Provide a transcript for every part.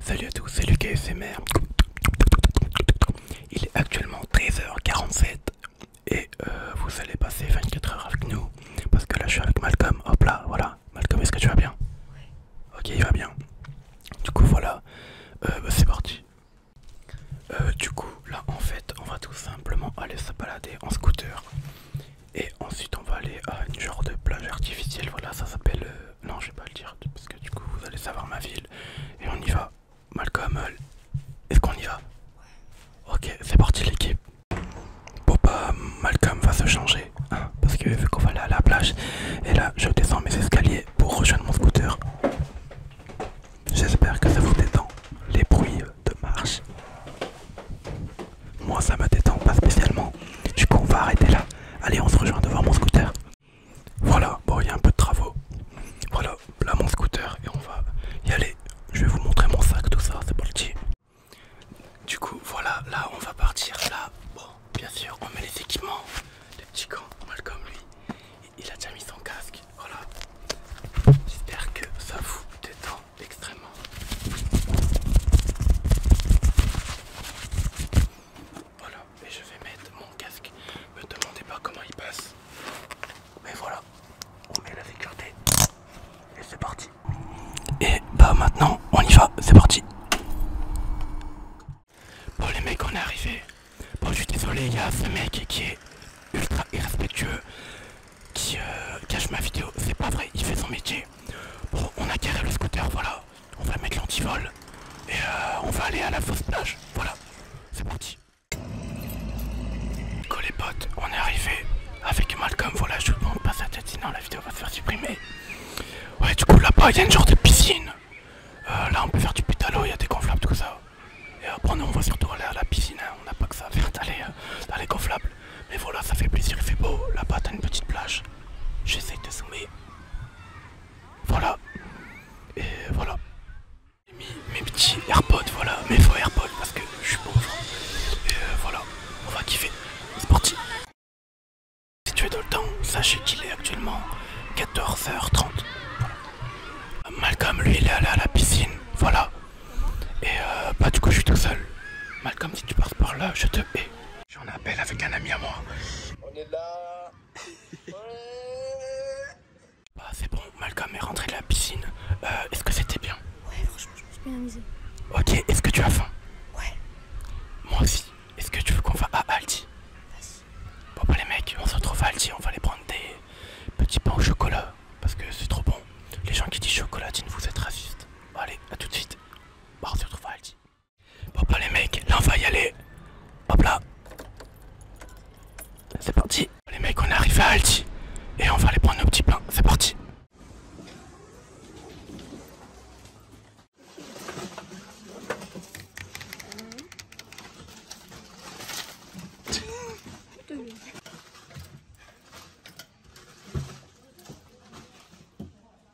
Salut à tous, c'est Lucas SMR. Il est actuellement 13h47 et euh, vous allez passer 24 heures avec nous parce que là je suis avec Malcolm. Hop là, voilà. Malcolm, est-ce que tu vas bien Oui. Ok, il va bien. Du coup, voilà, euh, bah, c'est parti. Euh, du coup, là en fait, on va tout simplement aller se balader en scooter et ensuite on va aller à une genre de plage artificielle. Voilà, ça s'appelle euh, non, je vais pas le dire parce que du coup vous allez savoir ma ville et on y va. Malcolm, euh, est-ce qu'on y va ouais. Ok, c'est parti l'équipe. Bon bah Malcolm va se changer hein, parce que vu qu'on va aller à la plage et là je descends mes escaliers pour rejoindre mon scooter. J'espère que ça vous détend les bruits de marche. Moi ça me détend pas spécialement. Du coup on va arrêter là. Allez on se rejoint devant mon scooter. Voilà, bon il y a un peu de travaux. Voilà, là mon scooter et on va y aller. Je vais vous montrer mon sac, tout ça, c'est parti. Du coup voilà, là on va partir. Là, bon, bien sûr, on met les équipements. les petits gants mal comme lui. Il a déjà mis son casque. Voilà. J'espère que ça vous détend extrêmement. Voilà et je vais mettre mon casque. Me demandez pas comment il passe. Mais voilà, on met la sécurité et c'est parti. Et bah maintenant, on y va, c'est parti. Bon les mecs, on est arrivé. Bon je suis désolé, il y a ce mec qui est ultra irrespectueux, qui euh, cache ma vidéo. C'est pas vrai, il fait son métier. Bon, on a carré le scooter, voilà on va mettre l'antivol et euh, on va aller à la fausse plage. Voilà, c'est parti. les potes, on est arrivé avec Malcolm. Voilà, je vous demande pas sa tête, sinon la vidéo va se faire supprimer. Ouais, du coup, là-bas, il y a une genre de piscine. Euh, là, on peut faire du pétalo, il y a des gonflables, tout ça. Et après, nous, on va surtout aller à la piscine. Hein. On n'a pas que ça à faire d'aller euh, dans les gonflables. Mais voilà, ça fait plaisir, il fait beau. Là-bas, t'as une petite plage. J'essaie de zoomer. Voilà. Et voilà. J'ai mis mes petits AirPods, voilà, mes faux AirPods parce que je suis pauvre. Et euh, voilà, on va kiffer. C'est parti. Si tu es dans le temps, sachez qu'il est actuellement 14h30. Malcolm, lui, il est allé à la piscine. Voilà. Et euh, bah, du coup, je suis tout seul. Malcolm, si tu passes par là, je te hais. J'en appelle avec un ami à moi. On est là. ouais. Bah, c'est bon, Malcolm est rentré de la piscine. Euh, est-ce que c'était bien Ouais, franchement, je me suis bien amusé. Ok, est-ce que tu as faim Ouais. Moi aussi. Est-ce que tu veux qu'on va à Aldi Vas-y. Bon, bah, les mecs, on se retrouve à Aldi, on va aller prendre des petits pains au chocolat. Parce que c'est trop bon. Les gens qui disent chocolatine, vous êtes racistes. Allez, à tout de suite. Bah, on se retrouve à Aldi. Hop bah, là les mecs, là on va y aller. Hop là. C'est parti. Les mecs, on arrive à Alti. Et on va aller prendre nos petits pain. C'est parti.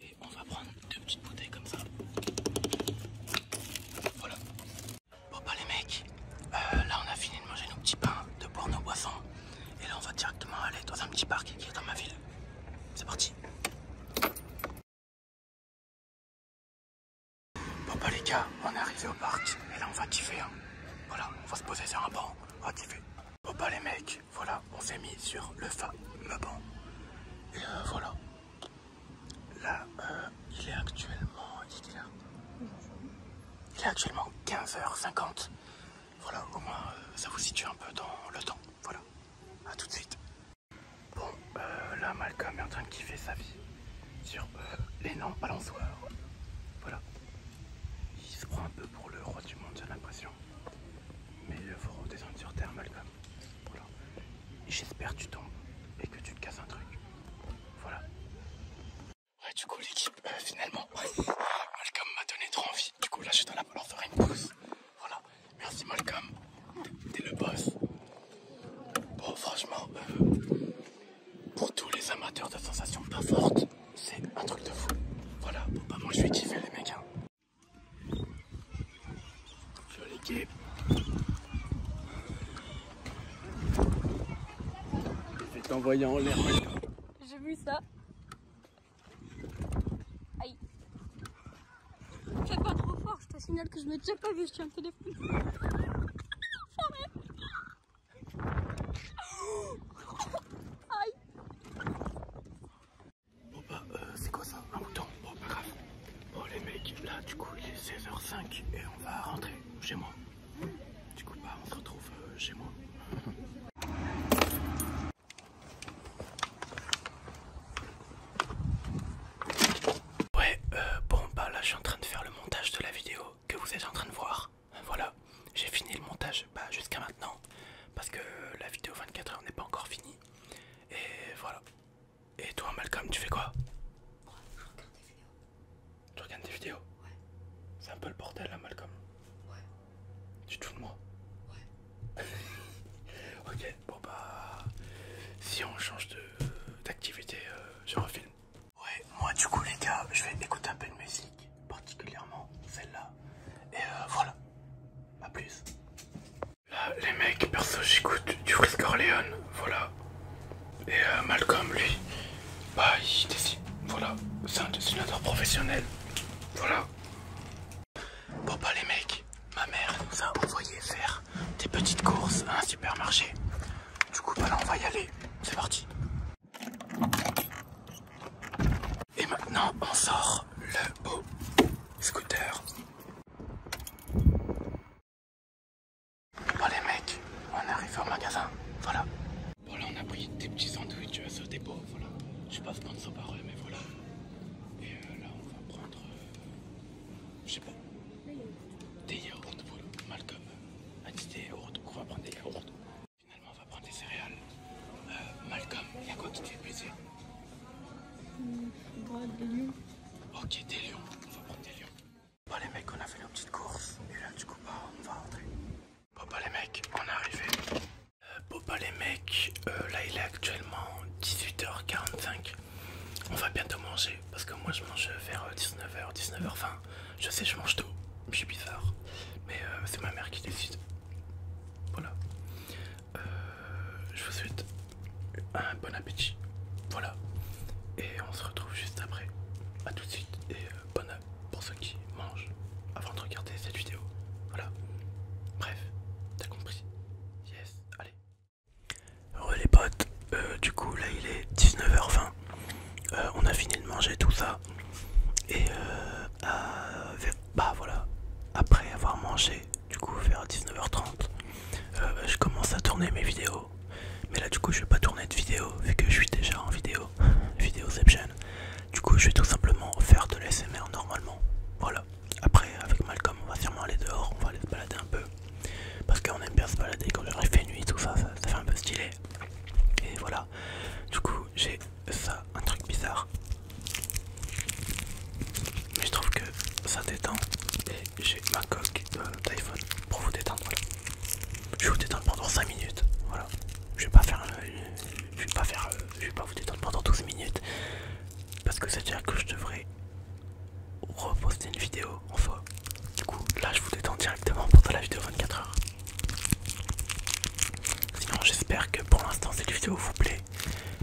Et on va prendre deux petites bouteilles comme ça. Voilà. Bon bah les mecs, euh, là on a fini de manger nos petits pains, de boire nos boissons. Et là on va directement aller dans un petit parc qui est dans ma ville. C'est parti. Bon bah les gars, on est arrivé au parc. Et là on va kiffer. Hein. Voilà, on va se poser sur un banc. On va kiffer. Bon bah les mecs, voilà, on s'est mis sur le fameux banc. Et euh, voilà. Euh, là, il est actuellement. Il est actuellement 15h50. Voilà, au moins euh, ça vous situe un peu dans le temps. Voilà. à tout de suite. Bon, euh, là Malcolm est en train de kiffer sa vie sur les l'énorme balançoire. Voilà. Il se prend un peu pour le roi du monde, j'ai l'impression. Mais il faut redescendre sur Terre, Malcolm. Voilà. J'espère que tu tombes et que tu te casses un truc. Voilà. Ouais, du coup, l'équipe, euh, finalement, Malcolm m'a donné trop envie. Du coup, là, je suis dans la leur faire une pousse. Voilà. Merci, Malcolm. T'es le boss. Bon, franchement, euh, pour tous les amateurs de sensations pas fortes, c'est un truc de fou. Voilà. Bon, bah, moi, je suis kiffé, les mecs. Hein. Sur l'équipe. Je vais t'envoyer en l'air maintenant. J'ai vu ça. Aïe. Fais pas trop fort, je te signale que je m'ai déjà pas vu, je suis un peu Aïe Bon bah, euh, c'est quoi ça Un bouton Bon, pas grave. Bon les mecs, là du coup il est 16h05 et on va rentrer chez moi. Du coup bah on se retrouve euh, chez moi. Ouais, euh, bon bah là je suis en train de faire le montage de la vidéo que vous êtes en train de voir. Voilà, j'ai fini le montage bah, jusqu'à maintenant parce que la vidéo 24h n'est pas encore finie. Et voilà, et toi, Malcolm, tu fais quoi Ouais, je regarde des vidéos. Tu regardes des vidéos Ouais. C'est un peu le bordel là, Malcolm. Ouais. Tu te fous de moi Ouais. ok, bon bah. Si on change d'activité je euh, refilme. Ouais, moi, du coup, les gars, je vais écouter un peu de musique, particulièrement celle-là. Et euh, voilà. A plus. Là, les mecs, perso, j'écoute du Frisk Corleone, voilà. Et euh, Malcolm, lui, bah, il décide, voilà, c'est un dessinateur professionnel, voilà. Bon, bah, les mecs, ma mère nous a envoyé faire des petites courses à un supermarché. Du coup, bah là, on va y aller, c'est parti. Et maintenant, on sort le beau scooter Bon oh, les mecs, on arrive au magasin, voilà. Bon là on a pris des petits sandwichs à ce dépôt, voilà. Je sais pas ça par eux mais voilà. Et euh, là on va prendre, euh, je sais pas, des yaourts, Malcolm a ah, dit des yaourts, donc on va prendre des yaourts. Finalement on va prendre des céréales. Euh, Malcolm, il y a quoi qui te fait plaisir Ok, des lions. On va prendre des lions. Bon, les mecs, on a fait nos petite course Et là, du coup, bah, on va rentrer. Bon, les mecs, on est arrivé. bon, bah, euh, les mecs, euh, là, il est actuellement 18h45. On va bientôt manger. Parce que moi, je mange vers 19h, euh, 19h20. je sais, je mange tôt. Je suis bizarre. Mais c'est ma mère qui décide. Voilà. je vous souhaite un ah, bon appétit. Voilà. Et on se retrouve juste après. A tout de suite et euh, bonne pour ceux qui mangent avant de regarder cette vidéo. Voilà. Bref, t'as compris. Yes, allez. Heureux les potes, euh, du coup là il est 19h20. Euh, on a fini de manger tout ça. Et bah voilà, après avoir mangé du coup vers 19h30 euh, je commence à tourner mes vidéos mais là du coup je vais pas tourner de vidéo vu que je suis déjà en vidéo vidéoception du coup je vais tout simplement faire de l'SMR normalement voilà après avec Malcolm on va sûrement aller dehors on va aller se balader un peu parce qu'on aime bien se balader quand il fait nuit tout ça ça fait un peu stylé et voilà du coup j'ai ça un truc bizarre mais je trouve que ça détend et j'ai ma coque euh, d'iPhone pour vous détendre Je vais vous détendre pendant 5 minutes voilà je vais pas faire euh, je vais pas faire euh, je vais pas vous détendre pendant 12 minutes parce que c'est dire que je devrais reposter une vidéo enfin du coup là je vous détends directement pendant la vidéo 24 heures Sinon j'espère que pour l'instant cette vidéo vous plaît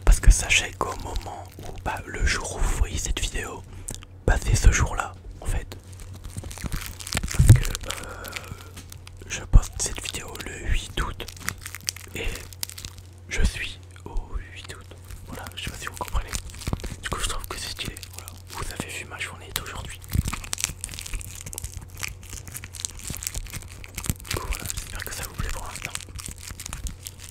parce que sachez qu'au moment ou bah, le jour où vous voyez cette vidéo, Passez ce jour-là, en fait. Parce que euh, je poste cette vidéo le 8 août et je suis au 8 août. Voilà, je sais pas si vous comprenez. Du coup, je trouve que c'est stylé. Voilà, vous avez vu ma journée d'aujourd'hui. Du coup, voilà, j'espère que ça vous plaît pour l'instant.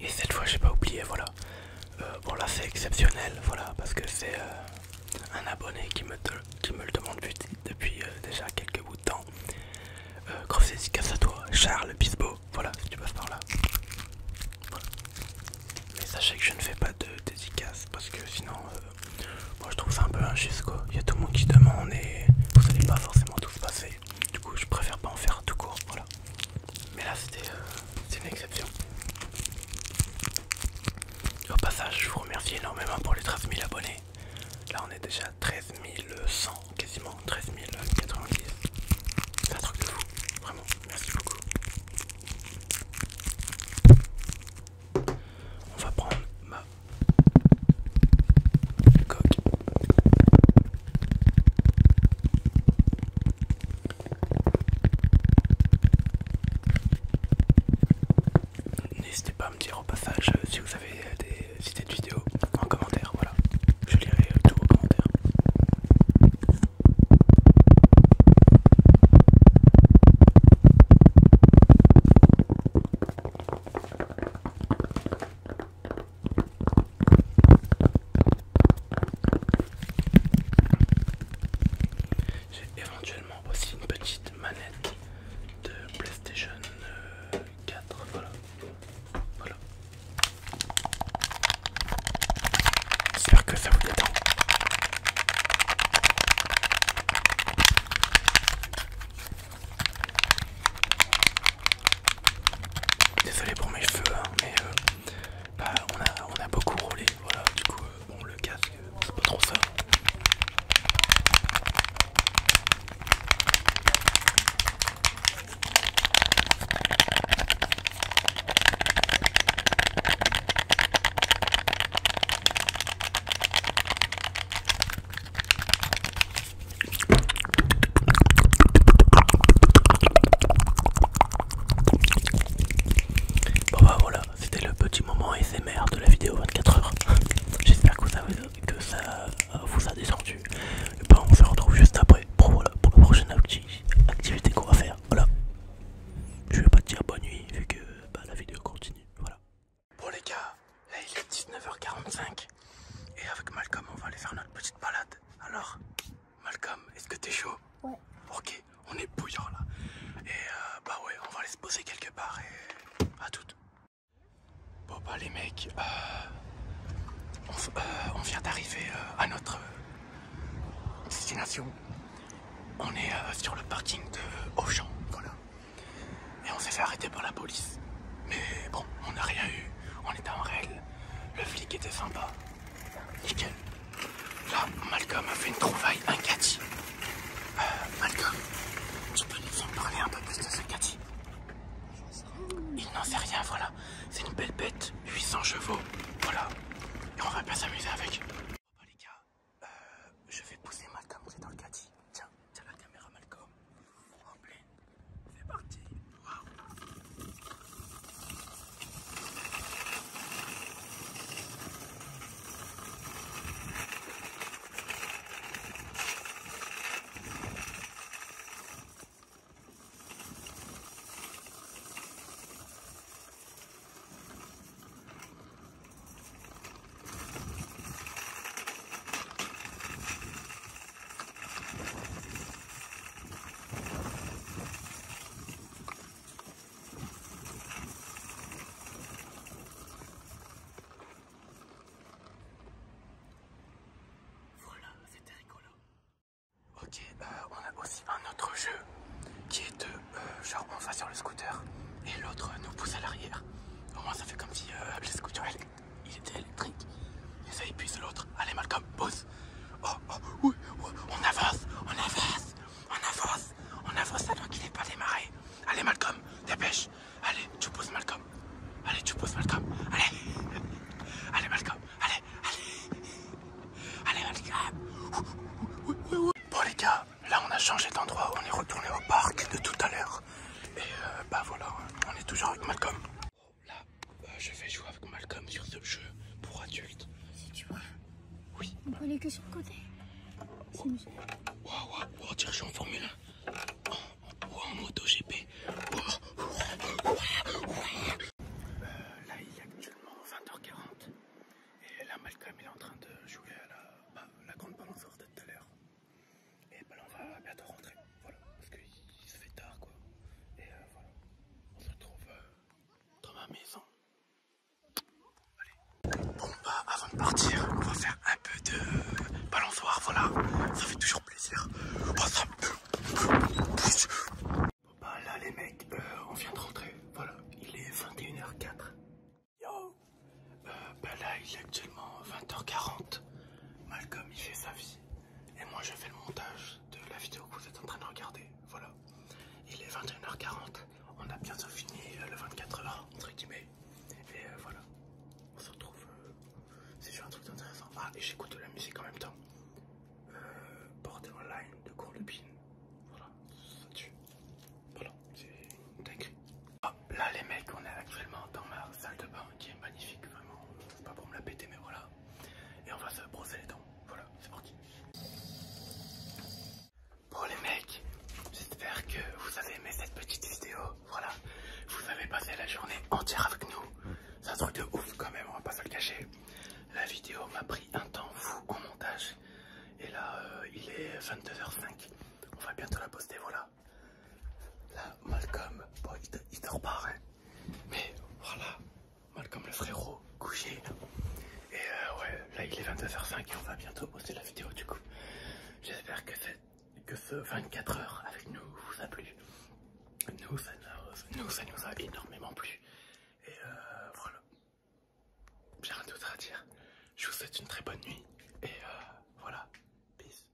Et cette fois j'ai pas oublié voilà euh, Bon là c'est exceptionnel voilà parce que c'est euh, un abonné qui me, me le demande depuis, euh, déjà quelques bouts de temps Grosse dédicace à toi Charles Bisbo voilà si tu passes par là Mais sachez que je ne fais pas de dédicaces parce que sinon moi je trouve ça un peu injuste quoi Il y a tout le monde qui demande et vous n'allez pas forcément tout passer. Du coup, je préfère pas en faire tout court. Voilà. Mais là, c'était euh, une exception. Au passage, je vous remercie énormément pour les 13 000 abonnés. Là, on est déjà à 13 100, quasiment 13 090. C'est un truc de fou, vraiment. Merci beaucoup. On va prendre ma N'hésitez pas à me dire au passage euh, si vous avez euh, des idées de vidéos en commentaire, voilà. Je lirai euh, tous vos commentaires. J'ai éventuellement aussi une petite manette de PlayStation 4. Euh, voilà. Voilà. J'espère que ça vous détend. Désolé pour mes cheveux, hein, mais euh, bah, on, a, on a beaucoup roulé, voilà, du coup, euh, bon, le casque, euh, c'est pas trop ça. Bon bah voilà, c'était le petit moment SMR de la vidéo 24 h J'espère que ça, vous a descendu. Et bah on se retrouve juste après pour, pour la prochaine activité qu'on va faire. Voilà. Je vais pas te dire bonne nuit vu que bah, la vidéo continue. Voilà. Bon les gars, là il est 19h45 et avec Malcolm on va aller faire notre petite balade. Alors, Malcolm, est-ce que t'es chaud Ouais. Ok, on est bouillant là. Et euh, bah ouais, on va aller se poser quelque part et à tout Bon bah les mecs, euh, euh, on, vient d'arriver à notre destination. On est sur le parking de Auchan, voilà. Et on s'est fait arrêter par la police. Mais bon, on n'a rien eu. On était en réel, Le flic était sympa. Nickel. Là, Malcolm a fait une trouvaille, un Cathy. Euh, Malcolm, tu peux nous en parler un peu plus de ce Cathy Il n'en sait rien, voilà. C'est une belle bête, 800 chevaux. Voilà. Et on va pas s'amuser avec. Bon bah, les gars, euh, je vais pousser Malcolm, c'est dans le caddie, Tiens. C'est la caméra Malcolm. En plein. C'est parti. Waouh voilà, c'était rigolo. Ok, euh, on a aussi un autre jeu qui est de euh, genre on va sur le scooter et l'autre nous pousse à l'arrière. Au moins ça fait comme si euh, scooter il était électrique. Et ça épuise l'autre. Allez Malcolm, pousse Oh, oh, oui, on avance, on avance, on avance, on avance alors qu'il n'est pas démarré. Allez Malcolm, dépêche. Allez, tu pousses Malcolm. Allez, tu pousses Malcolm. Allez. Allez Malcolm, allez, allez. Allez Malcolm. Bon les gars, là on a changé d'endroit, on est retourné au parc de tout à l'heure. Et euh, bah voilà, on est toujours avec Malcolm. Oh, là, bah, je vais jouer avec Malcolm sur ce jeu pour adultes. Si tu vois. Oui. On peut aller que sur le côté. Waouh, waouh, en Formule 1. en moto GP. Euh, là, il est actuellement 20h40. Et là, Malcolm est en train de jouer à la, bah, la grande balançoire de tout à l'heure. Et bah là on va bientôt rentrer, voilà, parce qu'il se fait tard quoi. Et euh, voilà, on se retrouve euh, dans ma maison. Allez. Bon bah avant de partir, on va faire un peu de balançoire, voilà, ça fait toujours plaisir. Bah, bon bah là les mecs, euh, on vient de rentrer, voilà, il est 21h04. Yo Bah là il est actuellement 20h40. Malcolm il fait sa vie et moi je fais le montage de la vidéo que vous êtes en train de regarder. Voilà. Il est 21h40, on a bientôt fini euh, le 24h entre guillemets. Et euh, voilà, on se retrouve C'est euh, si un truc intéressant. Ah et j'écoute de la musique en même temps. Euh, online de Courlupine. Voilà, ça tue. Voilà, c'est dingue. Ah, là les mecs on est actuellement dans ma salle de bain qui est magnifique vraiment, pas pour me la péter mais voilà. Et on va se brosser les dents, voilà c'est parti. Bon les mecs, j'espère que vous avez aimé cette petite vidéo, voilà. Vous avez passé la journée entière avec nous, c'est un truc de ouf quand même, on va pas se le cacher. La vidéo m'a pris un temps fou au montage et là euh, il est 22h05, on va bientôt la poster, voilà là, Malcolm, il, dort pas, hein. Mais voilà, Malcolm le frérot, couché. Et euh, ouais, là il est 22h05 et on va bientôt poster la vidéo du coup. J'espère que, ce 24 h avec nous vous a plu. Nous, ça nous, a énormément plu. Et euh, voilà. J'ai rien d'autre à dire. Je vous souhaite une très bonne nuit. Et euh, voilà. Peace.